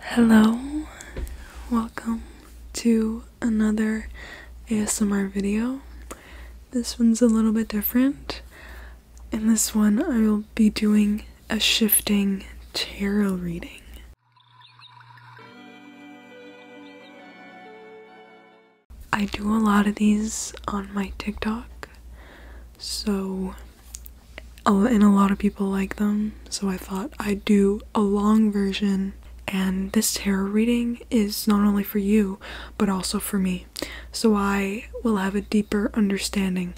Hello, welcome to another ASMR video. This one's a little bit different. In this one, I will be doing a shifting tarot reading. I do a lot of these on my TikTok, so Oh, and a lot of people like them, so I thought I'd do a long version. And this tarot reading is not only for you, but also for me. So I will have a deeper understanding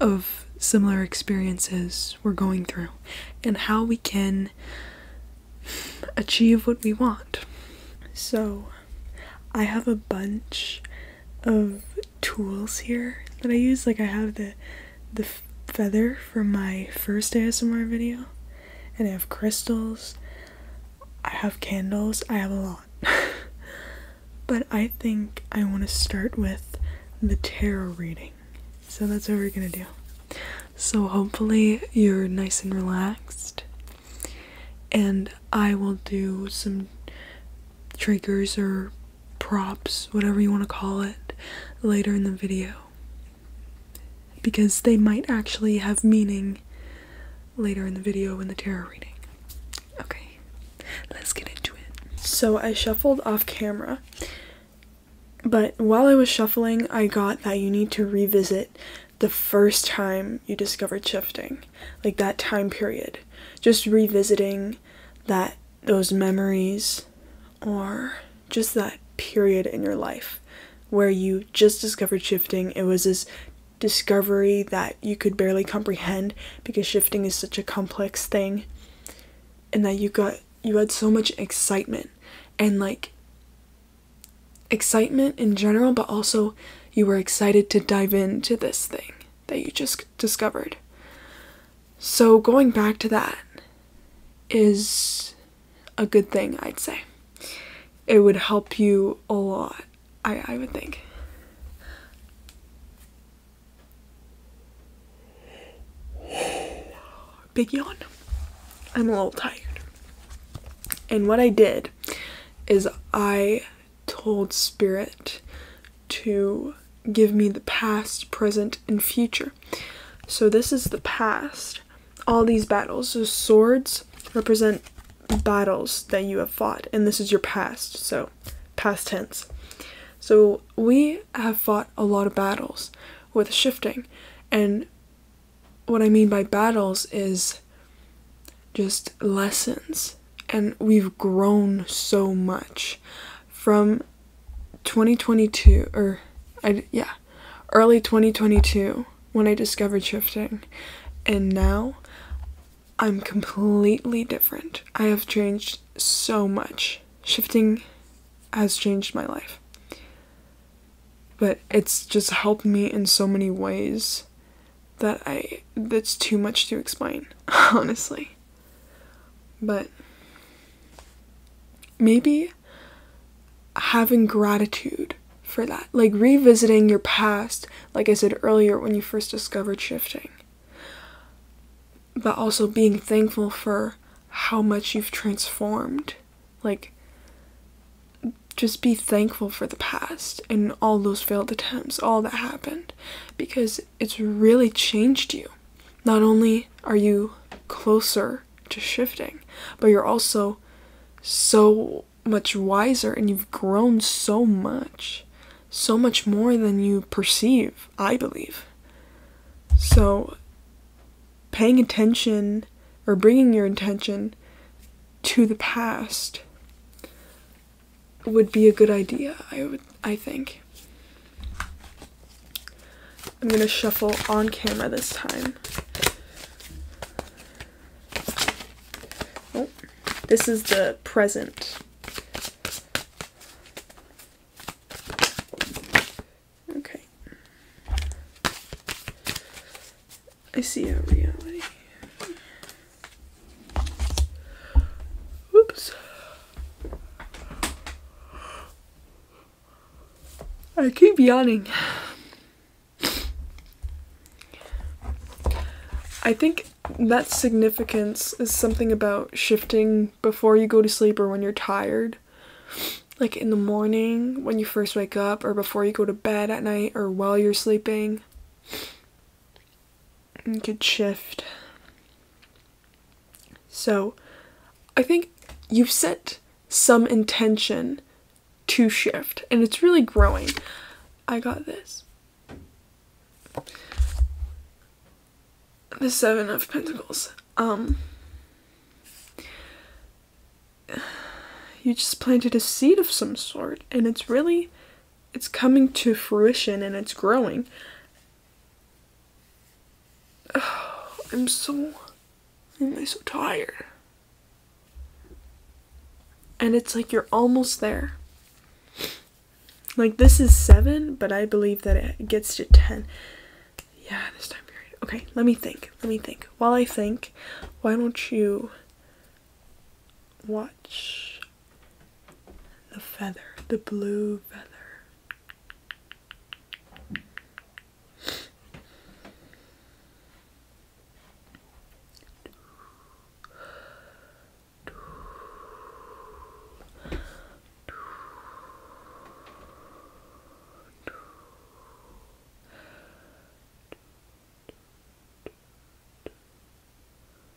of similar experiences we're going through and how we can achieve what we want. So I have a bunch of tools here that I use. Like I have the the feather for my first ASMR video, and I have crystals. I have candles. I have a lot. but I think I want to start with the tarot reading. So that's what we're gonna do. So hopefully you're nice and relaxed. And I will do some triggers or props, whatever you want to call it, later in the video. Because they might actually have meaning later in the video in the tarot reading. Okay, let's get into it. So I shuffled off camera, but while I was shuffling, I got that you need to revisit the first time you discovered shifting, like that time period. Just revisiting that those memories or just that period in your life where you just discovered shifting. It was this discovery that you could barely comprehend because shifting is such a complex thing and that you got you had so much excitement and like excitement in general but also you were excited to dive into this thing that you just discovered. So going back to that is a good thing, I'd say. It would help you a lot, I, I would think. Big yawn. I'm a little tired. And what I did is I told Spirit to give me the past, present, and future. So this is the past. All these battles. the swords represent battles that you have fought, and this is your past. So past tense. So we have fought a lot of battles with shifting, and what I mean by battles is just lessons. And we've grown so much from 2022 or I yeah, early 2022 when I discovered shifting and now I'm completely different. I have changed so much. Shifting has changed my life. But it's just helped me in so many ways that I that's too much to explain, honestly. But maybe having gratitude for that, like revisiting your past, like I said earlier when you first discovered shifting, but also being thankful for how much you've transformed. Like, just be thankful for the past and all those failed attempts, all that happened, because it's really changed you. Not only are you closer to shifting, but you're also so much wiser and you've grown so much, so much more than you perceive, I believe. So, paying attention or bringing your attention to the past would be a good idea, I would I think. I'm gonna shuffle on camera this time. Oh, this is the present. Okay. I see a reality. Oops. I keep yawning. I think that significance is something about shifting before you go to sleep or when you're tired. Like in the morning, when you first wake up, or before you go to bed at night, or while you're sleeping could shift. So I think you've set some intention to shift and it's really growing. I got this. The Seven of Pentacles. Um you just planted a seed of some sort and it's really it's coming to fruition and it's growing. Oh, I'm so am i so tired. And it's like you're almost there. Like this is 7, but I believe that it gets to 10. Yeah, this time period. Okay, let me think. Let me think. While I think, why don't you watch the feather, the blue feather.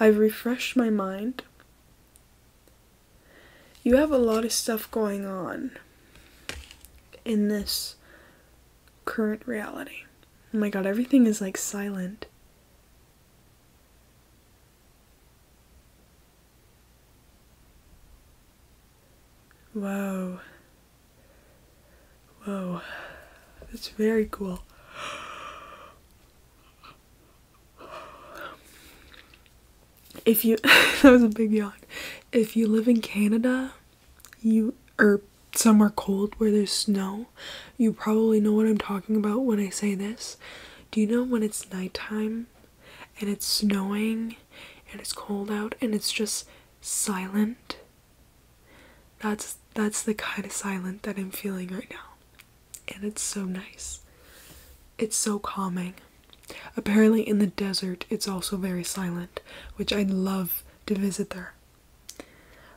I've refreshed my mind. You have a lot of stuff going on in this current reality. Oh my god, everything is like silent. Whoa. Whoa, that's very cool. If you, that was a big yawn. If you live in Canada, you or somewhere cold where there's snow, you probably know what I'm talking about when I say this. Do you know when it's nighttime and it's snowing and it's cold out and it's just silent that's that's the kind of silence that I'm feeling right now. And it's so nice. It's so calming. Apparently in the desert it's also very silent, which I'd love to visit there.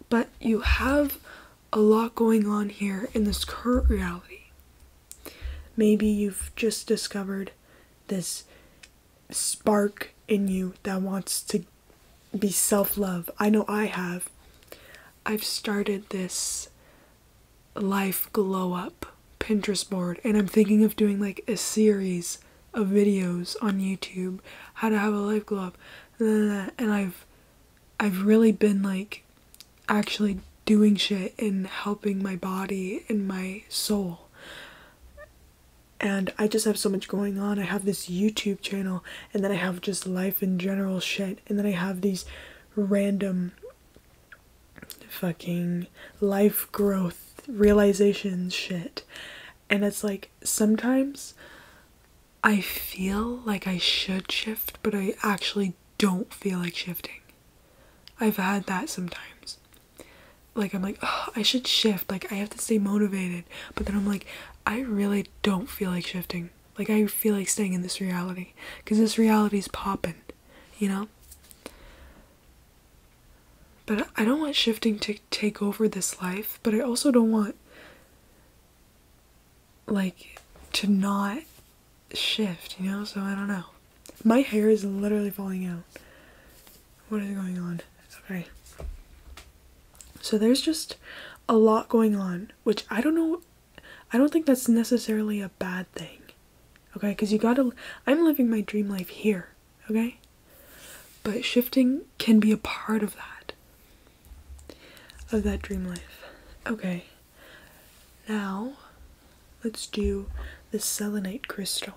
But you have a lot going on here in this current reality. Maybe you've just discovered this spark in you that wants to be self love. I know I have. I've started this life glow up Pinterest board, and I'm thinking of doing like a series of videos on YouTube how to have a life glow up. And I've I've really been like actually doing shit and helping my body and my soul. And I just have so much going on. I have this YouTube channel and then I have just life in general shit, and then I have these random fucking life growth realizations shit. And it's like sometimes I feel like I should shift, but I actually don't feel like shifting. I've had that sometimes. Like, I'm like, I should shift. Like, I have to stay motivated. But then I'm like, I really don't feel like shifting. Like I feel like staying in this reality because this reality is popping, you know. But I don't want shifting to take over this life, but I also don't want like to not shift, you know? So I don't know. My hair is literally falling out. What is going on? Okay. So there's just a lot going on which I don't know. I don't think that's necessarily a bad thing. Okay, because you gotta. I'm living my dream life here. Okay? But shifting can be a part of that. Of that dream life. Okay. Now, let's do the selenite crystal.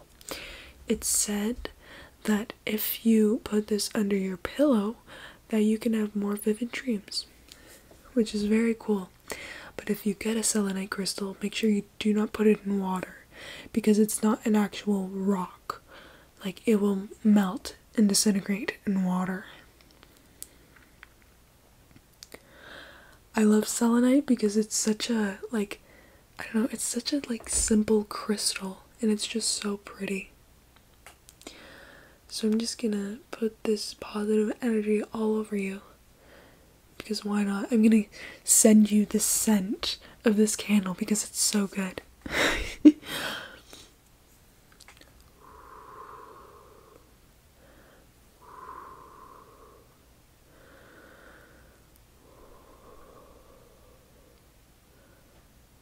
It said that if you put this under your pillow, that you can have more vivid dreams, which is very cool. But if you get a selenite crystal, make sure you do not put it in water because it's not an actual rock. Like it will melt and disintegrate in water. I love selenite because it's such a like I don't know, it's such a like simple crystal and it's just so pretty. So I'm just gonna put this positive energy all over you. Because why not? I'm gonna send you the scent of this candle because it's so good.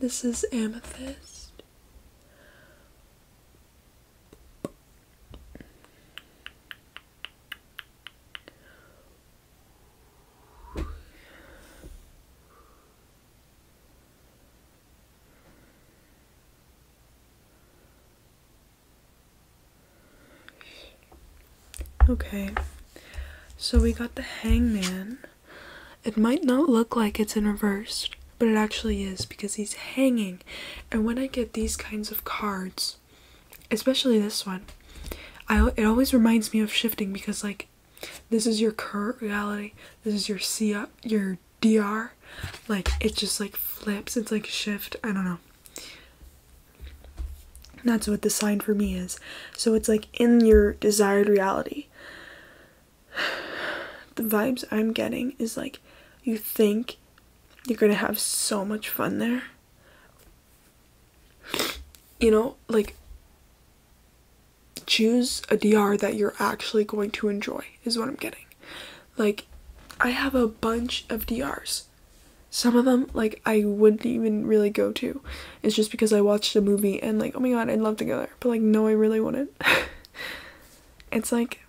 This is amethyst. Okay, so we got the hangman. It might not look like it's in reverse, but it actually is because he's hanging. And when I get these kinds of cards, especially this one, it always reminds me of shifting because like this is your current reality, this is your C your DR, like it just like flips. It's like shift. I don't know. That's what the sign for me is. So it's like in your desired reality. The vibes I'm getting is like you think you're going to have so much fun there. You know, like choose a DR that you're actually going to enjoy is what I'm getting. Like I have a bunch of DRs. Some of them like I wouldn't even really go to it's just because I watched a movie and like, oh my god, I'd love to go there, But like, no, I really wouldn't. it's like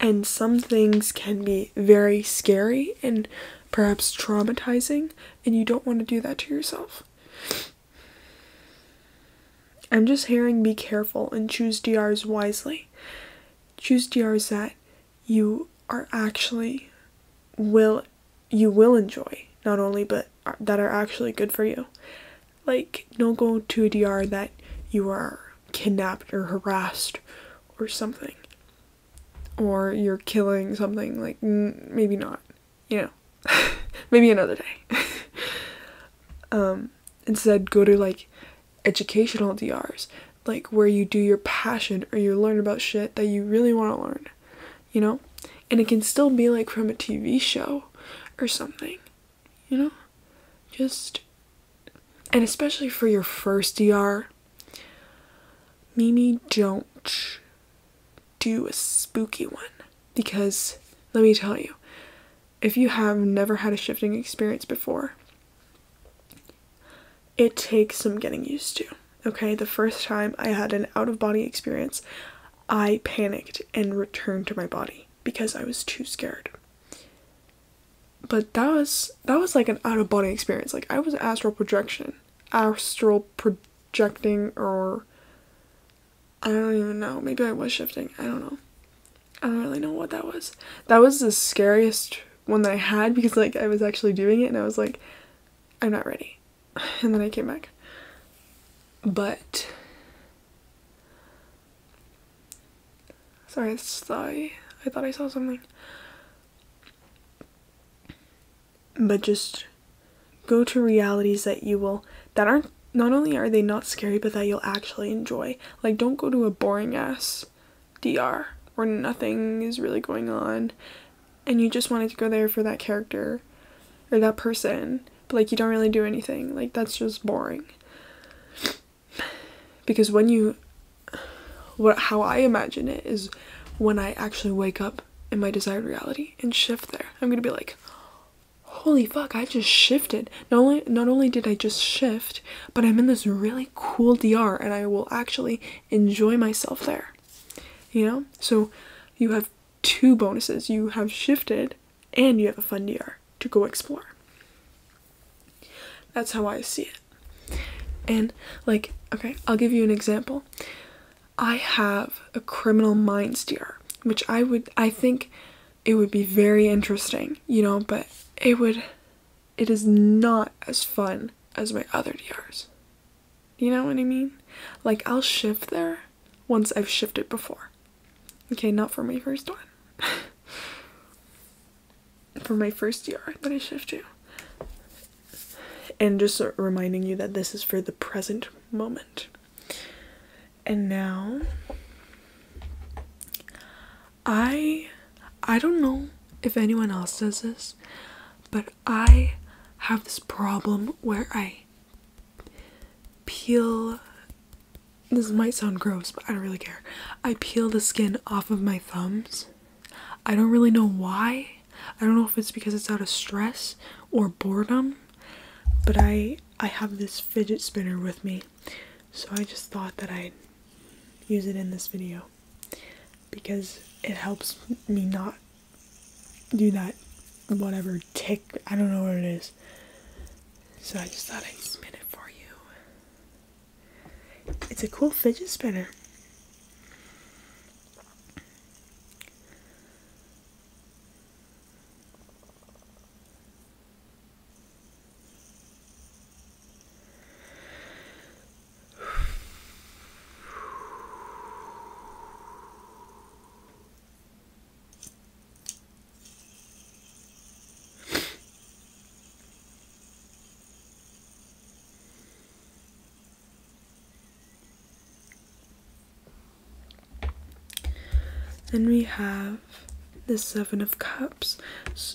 and some things can be very scary and perhaps traumatizing and you don't want to do that to yourself. I'm just hearing be careful and choose DRs wisely. Choose DRs that you are actually will you will enjoy not only but that are actually good for you like don't go to a dr that you are kidnapped or harassed or something or you're killing something like maybe not you know maybe another day um instead go to like educational drs like where you do your passion or you learn about shit that you really want to learn, you know? And it can still be like from a TV show or something, you know? Just and especially for your first DR, Mimi, don't do a spooky one. Because let me tell you, if you have never had a shifting experience before, it takes some getting used to. Okay, the first time I had an out of body experience, I panicked and returned to my body because I was too scared. But that was that was like an out of body experience. Like I was astral projection, astral projecting, or I don't even know. Maybe I was shifting. I don't know. I don't really know what that was. That was the scariest one that I had because like I was actually doing it and I was like, I'm not ready. And then I came back. But sorry, I I thought I saw something. But just go to realities that you will that aren't not only are they not scary but that you'll actually enjoy. Like don't go to a boring ass DR where nothing is really going on and you just wanted to go there for that character or that person, but like you don't really do anything. Like that's just boring. Because when you what how I imagine it is when I actually wake up in my desired reality and shift there. I'm going to be like, holy fuck i just shifted not only not only did i just shift but i'm in this really cool dr and i will actually enjoy myself there you know? So you have two bonuses. You have shifted and you have a fun DR to go explore. That's how I see it. And like, okay, I'll give you an example. I have a criminal mind DR, which I would I think it would be very interesting, you know, but it would it is not as fun as my other DRs. You know what I mean? Like, I'll shift there once I've shifted before. Okay, not for my first one. for my first DR that I shift to. And just reminding you that this is for the present moment. And now, I, I don't know if anyone else does this, but I have this problem where I peel this might sound gross, but I don't really care. I peel the skin off of my thumbs. I don't really know why. I don't know if it's because it's out of stress or boredom, but I I have this fidget spinner with me. So I just thought that I'd use it in this video because it helps me not do that whatever tick I don't know what it is. So I just thought I'd spin it for you. It's a cool fidget spinner. Then we have the Seven of Cups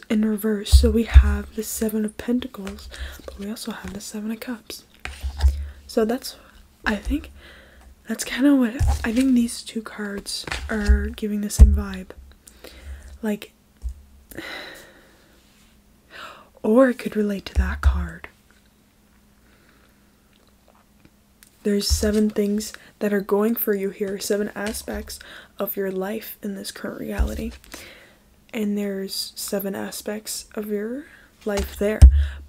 in reverse. So we have the Seven of Pentacles but we also have the seven of cups so that's i think that's kind of what i think these two cards are giving the same vibe like or it could relate to that card there's seven things that are going for you here seven aspects of your life in this current reality and there's seven aspects of your life there.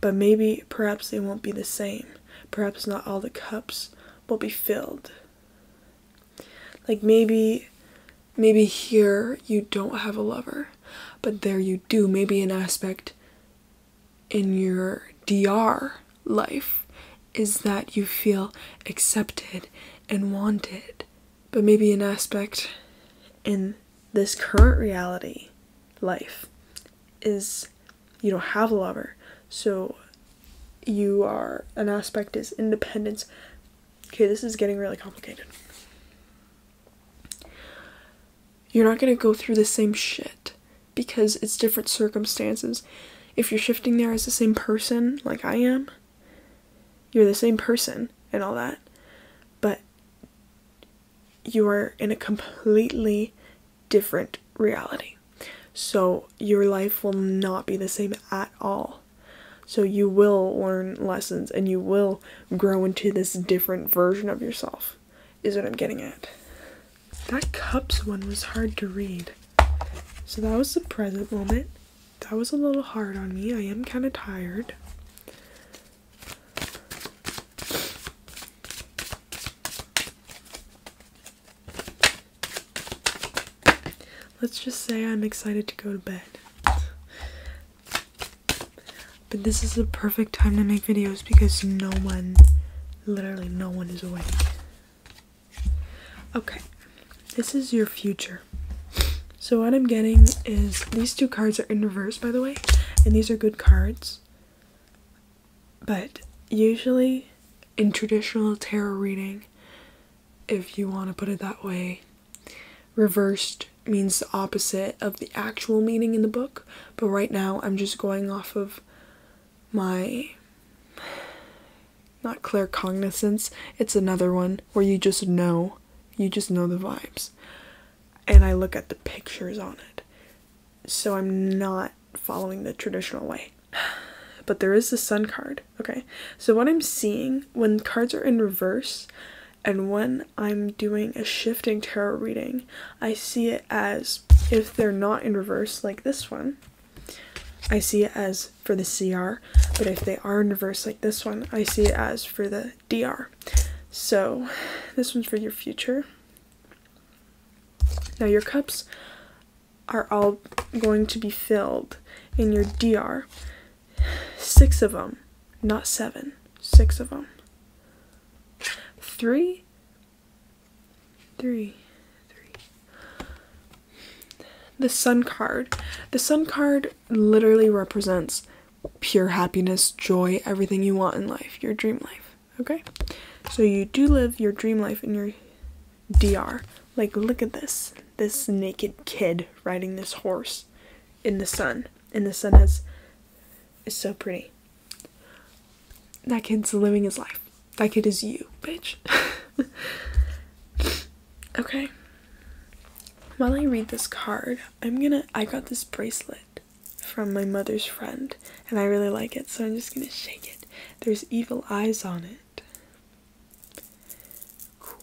But maybe, perhaps they won't be the same. Perhaps not all the cups will be filled. Like maybe, maybe here you don't have a lover, but there you do. Maybe an aspect in your DR life is that you feel accepted and wanted. But maybe an aspect in this current reality life is you don't have a lover so you are an aspect is independence okay this is getting really complicated you're not going to go through the same shit because it's different circumstances if you're shifting there as the same person like i am you're the same person and all that but you are in a completely different reality. So your life will not be the same at all. So you will learn lessons and you will grow into this different version of yourself, is what I'm getting at. That cups one was hard to read. So that was the present moment. That was a little hard on me. I am kind of tired. Let's just say I'm excited to go to bed. But this is the perfect time to make videos because no one, literally no one is awake. Okay, this is your future. So what I'm getting is these two cards are in reverse, by the way, and these are good cards. But usually in traditional tarot reading, if you want to put it that way, reversed means the opposite of the actual meaning in the book. But right now, I'm just going off of my not clear cognizance. it's another one where you just know you just know the vibes. And I look at the pictures on it. So I'm not following the traditional way. But there is the sun card, okay? So what I'm seeing when cards are in reverse and when I'm doing a shifting tarot reading, I see it as if they're not in reverse like this one, I see it as for the CR, but if they are in reverse like this one, I see it as for the DR. So this one's for your future. Now your cups are all going to be filled in your DR. Six of them, not seven. Six of them. Three, three, three. The sun card. The sun card literally represents pure happiness, joy, everything you want in life, your dream life. Okay? So you do live your dream life in your DR. Like, look at this. This naked kid riding this horse in the sun. And the sun has. is so pretty. That kid's living his life. That kid is you, bitch. okay. While I read this card, I'm gonna I got this bracelet from my mother's friend and I really like it so I'm just gonna shake it. There's evil eyes on it. Cool.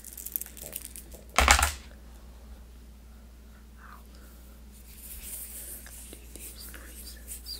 do these noises.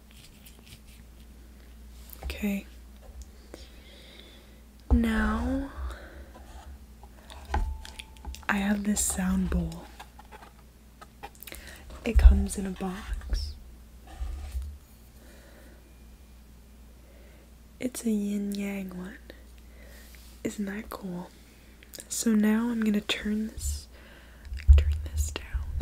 Okay. Now I have this sound bowl. It comes in a box. It's a yin yang one. Isn't that cool? So now I'm gonna turn this turn this down.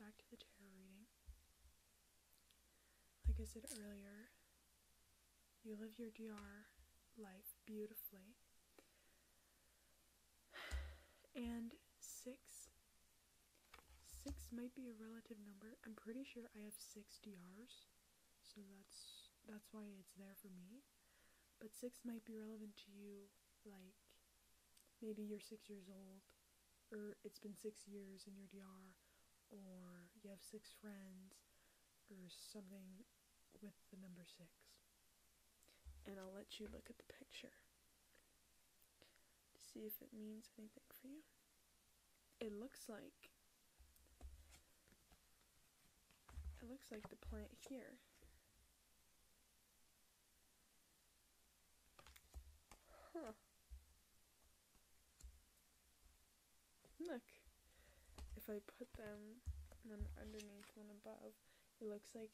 back to the tarot reading. Like I said earlier, you live your DR life beautifully. And six, six might be a relative number. I'm pretty sure I have six DRs, so that's that's why it's there for me. But six might be relevant to you, like maybe you're six years old or it's been six years in your DR, or you have six friends, or something with the number six. And I'll let you look at the picture to see if it means anything for you. It looks like it looks like the plant here Look. If I put them one underneath, one above, it looks like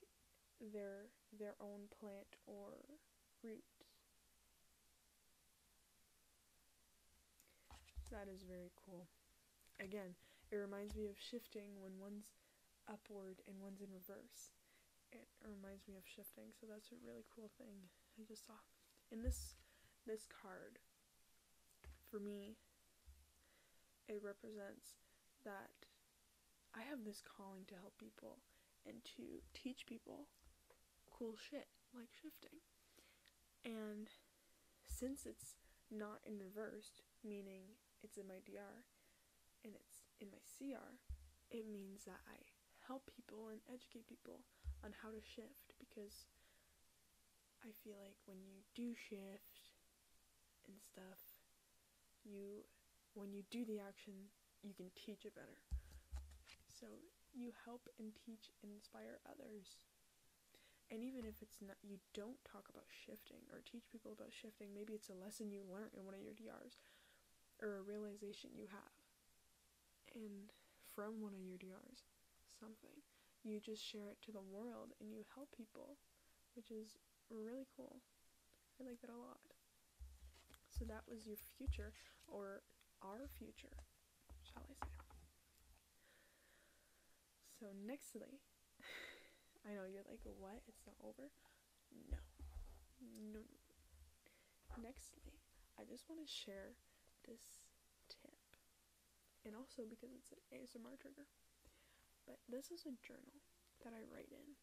they're their own plant or roots. That is very cool. Again, it reminds me of shifting when one's upward and one's in reverse it reminds me of shifting, so that's a really cool thing I just saw. In this this card, for me, it represents that I have this calling to help people and to teach people cool shit like shifting. And since it's not in reversed, meaning it's in my DR and it's in my CR, it means that I help people and educate people on how to shift because I feel like when you do shift and stuff, you when you do the action, you can teach it better. So you help and teach inspire others. And even if it's not you don't talk about shifting or teach people about shifting, maybe it's a lesson you learned in one of your DRs or a realization you have and from one of your DRs, something. You just share it to the world and you help people, which is really cool. I like that a lot. So that was your future or our future, shall I say. So nextly, I know you're like, what? It's not over. No. Nextly, I just want to share this tip. And also because it's an ASMR trigger. But this is a journal that I write in.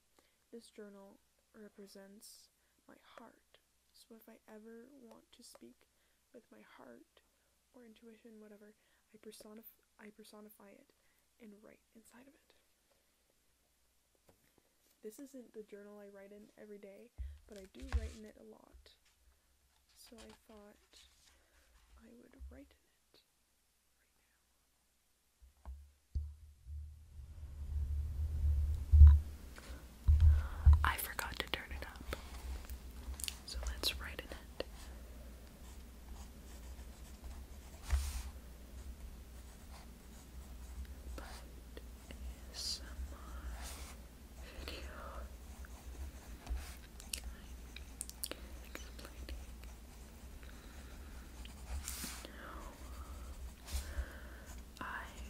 This journal represents my heart. So if I ever want to speak with my heart or intuition, whatever, I personify it and write inside of it. This isn't the journal I write in every day, but I do write in it a lot. So I thought I would write in it right now. I forgot to turn it up. So let's write in it but ASMR video explaining I write you to speak to my heart.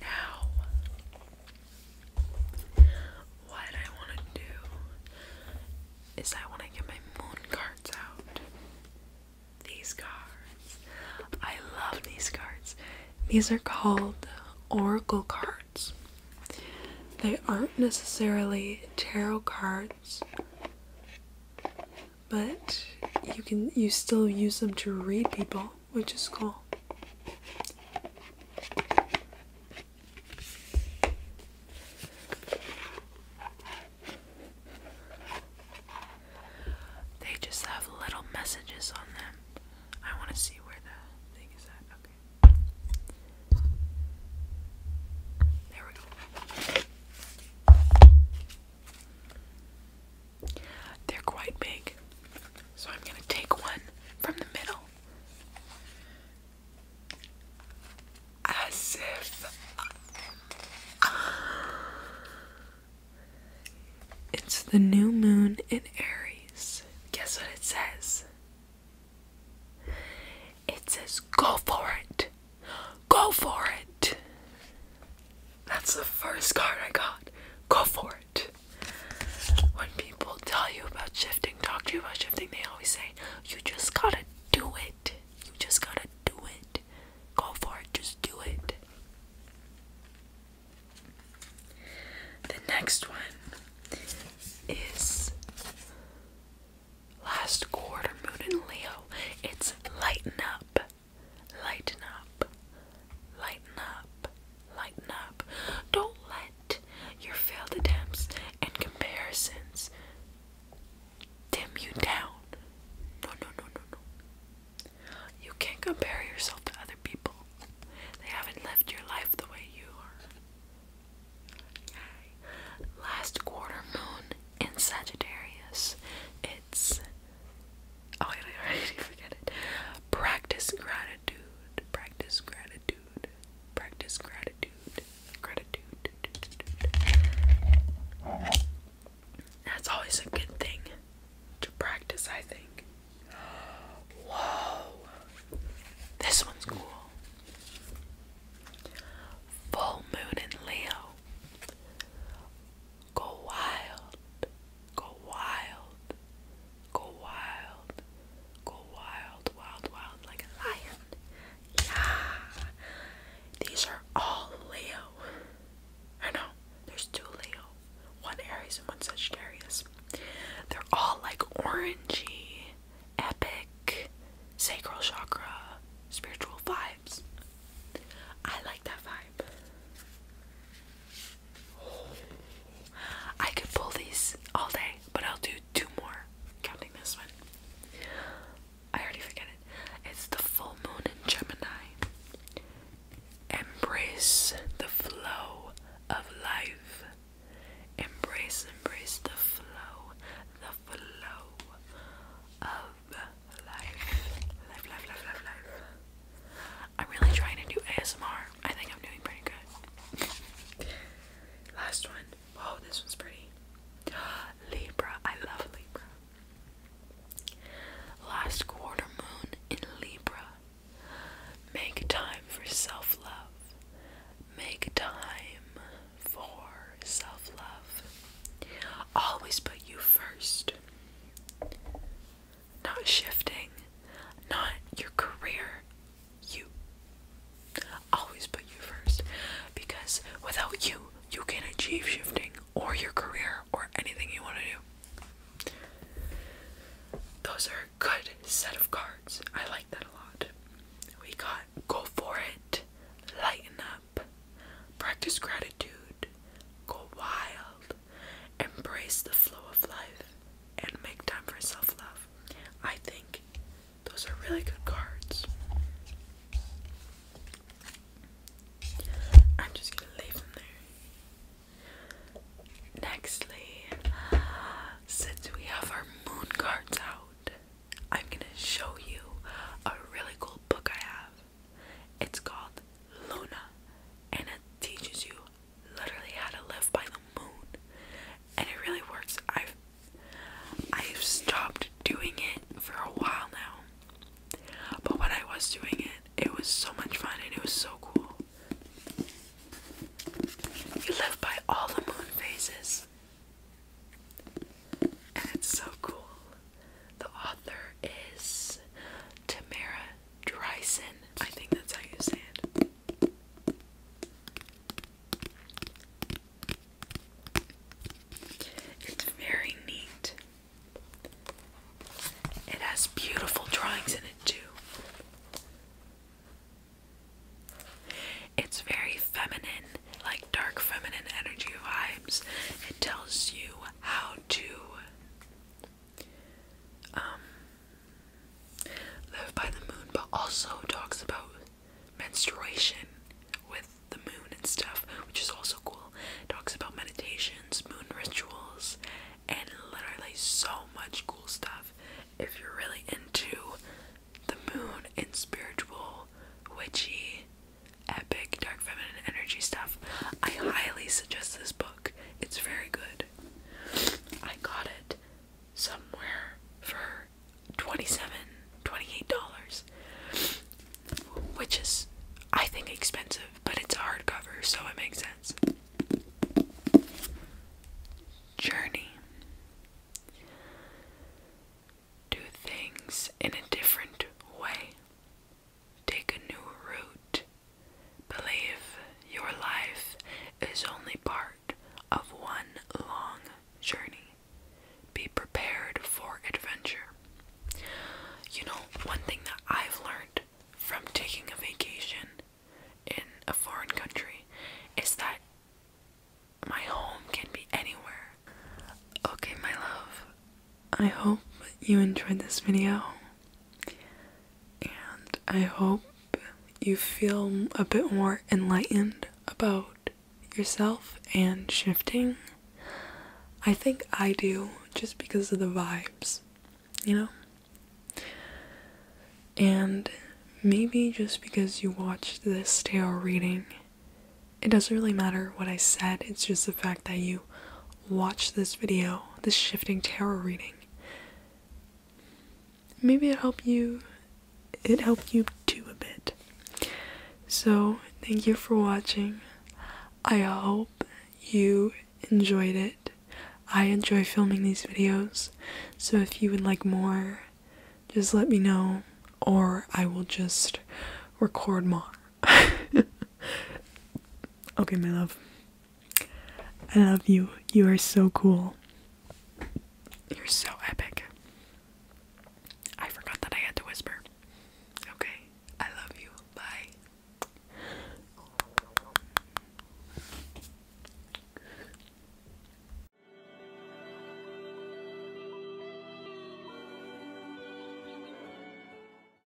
Now, what I want to do is I want to get my moon cards out. These cards. I love these cards. These are called oracle cards. They aren't necessarily tarot cards but you can you still use them to read people, which is cool. They just have little messages on them. I want to see where the thing is at. Okay. There we go. They're quite big. So I'm going to take one from the middle. As if it's the new moon in Aries. Guess what it says? It says, Go for it! Go for it. That's the first card I got. Go for it. When people tell you about shifting, talk to you about shifting, they always say, You just gotta do it. You just gotta do it. Go for it. Just do it. The next one is Last Quarter Moon in Leo. It's Lighten Up. Lighten up. Lighten up. Lighten up. Don't let your failed attempts and comparisons dim you down. No, no, no, no, no. You can't compare yourself to other people. They haven't lived your life the way you are. Last quarter moon in Sagittarius. It's Oh, I already forget it. Practice gratitude. Practice gratitude. Practice gratitude. Gratitude. That's always a good thing to practice, I think. Whoa. This one's cool. Full moon in Leo. Go wild, go wild, go wild, go wild, wild, wild, like a lion. Yeah, these are all Leo. I know, there's two Leo, one Aries and one Sagittarius. They're all like orangey, epic, sacral chakra, spiritual vibe. I like that vibe. I could pull these all day, but I'll do two more, counting this one. I already forget it. It's the full moon in Gemini. Embrace the flow of life. Embrace, embrace the flow, the flow of I'm really trying to do ASMR. I think I'm doing pretty good. Last one. Oh, this one's pretty. Libra. I love Libra. Last quarter moon in Libra. Make time for self love. Make time for self love. Always put you first not shifting, not your career, you. Always put you first because without you, you can't achieve shifting or your career or anything you want to do. Those are a good set of cards. I like that a lot. We got go for it, lighten up, practice gratitude, go wild, Embrace the flow of life and make time for self love. I think those are really good cards. I'm just gonna leave them there. Nextly, since we have our moon cards out, I'm gonna show you a really cool book I have. It's called Luna and it teaches you literally how to live by the moon. And it really works. I've I've stopped doing it for a while now. But when I was doing it, it was so much fun and it was so cool. You live by all the moon phases. And it's so cool. The author is Tamara Dryson. I think that's how you say it. It's very neat. It has beautiful drawings in it, too. It's very feminine, like dark feminine energy vibes. It tells you how to um, by the Moon, but also talks about menstruation with the moon and stuff, which is also cool. Talks about meditations, moon rituals, and literally so much cool stuff. If you're really into the moon and spiritual, witchy, epic dark feminine energy stuff. I highly suggest this book. It's very good. I got it somewhere for 27 28 dollars which is I think expensive but it's a hardcover so it makes sense journey do things in a different way Take a new route. Believe your life is only part of one long journey. Be prepared for adventure. You know, one thing that I've learned from taking a vacation in a foreign country is that my home can be anywhere. Okay, my love, I hope you enjoyed this video and I hope you feel a bit more enlightened about yourself and shifting. I think I do just because of the vibes, you know? And maybe just because you watched this tarot reading, it doesn't really matter what I said, it's just the fact that you watch this video, this shifting tarot reading. Maybe it helped you it helped you too a bit. So thank you for watching. I hope you enjoyed it. I enjoy filming these videos, so if you would like more, just let me know, or I will just record more. okay, my love. I love you. You are so cool. You're so epic. I forgot that I had to whisper. Okay, I love you. Bye.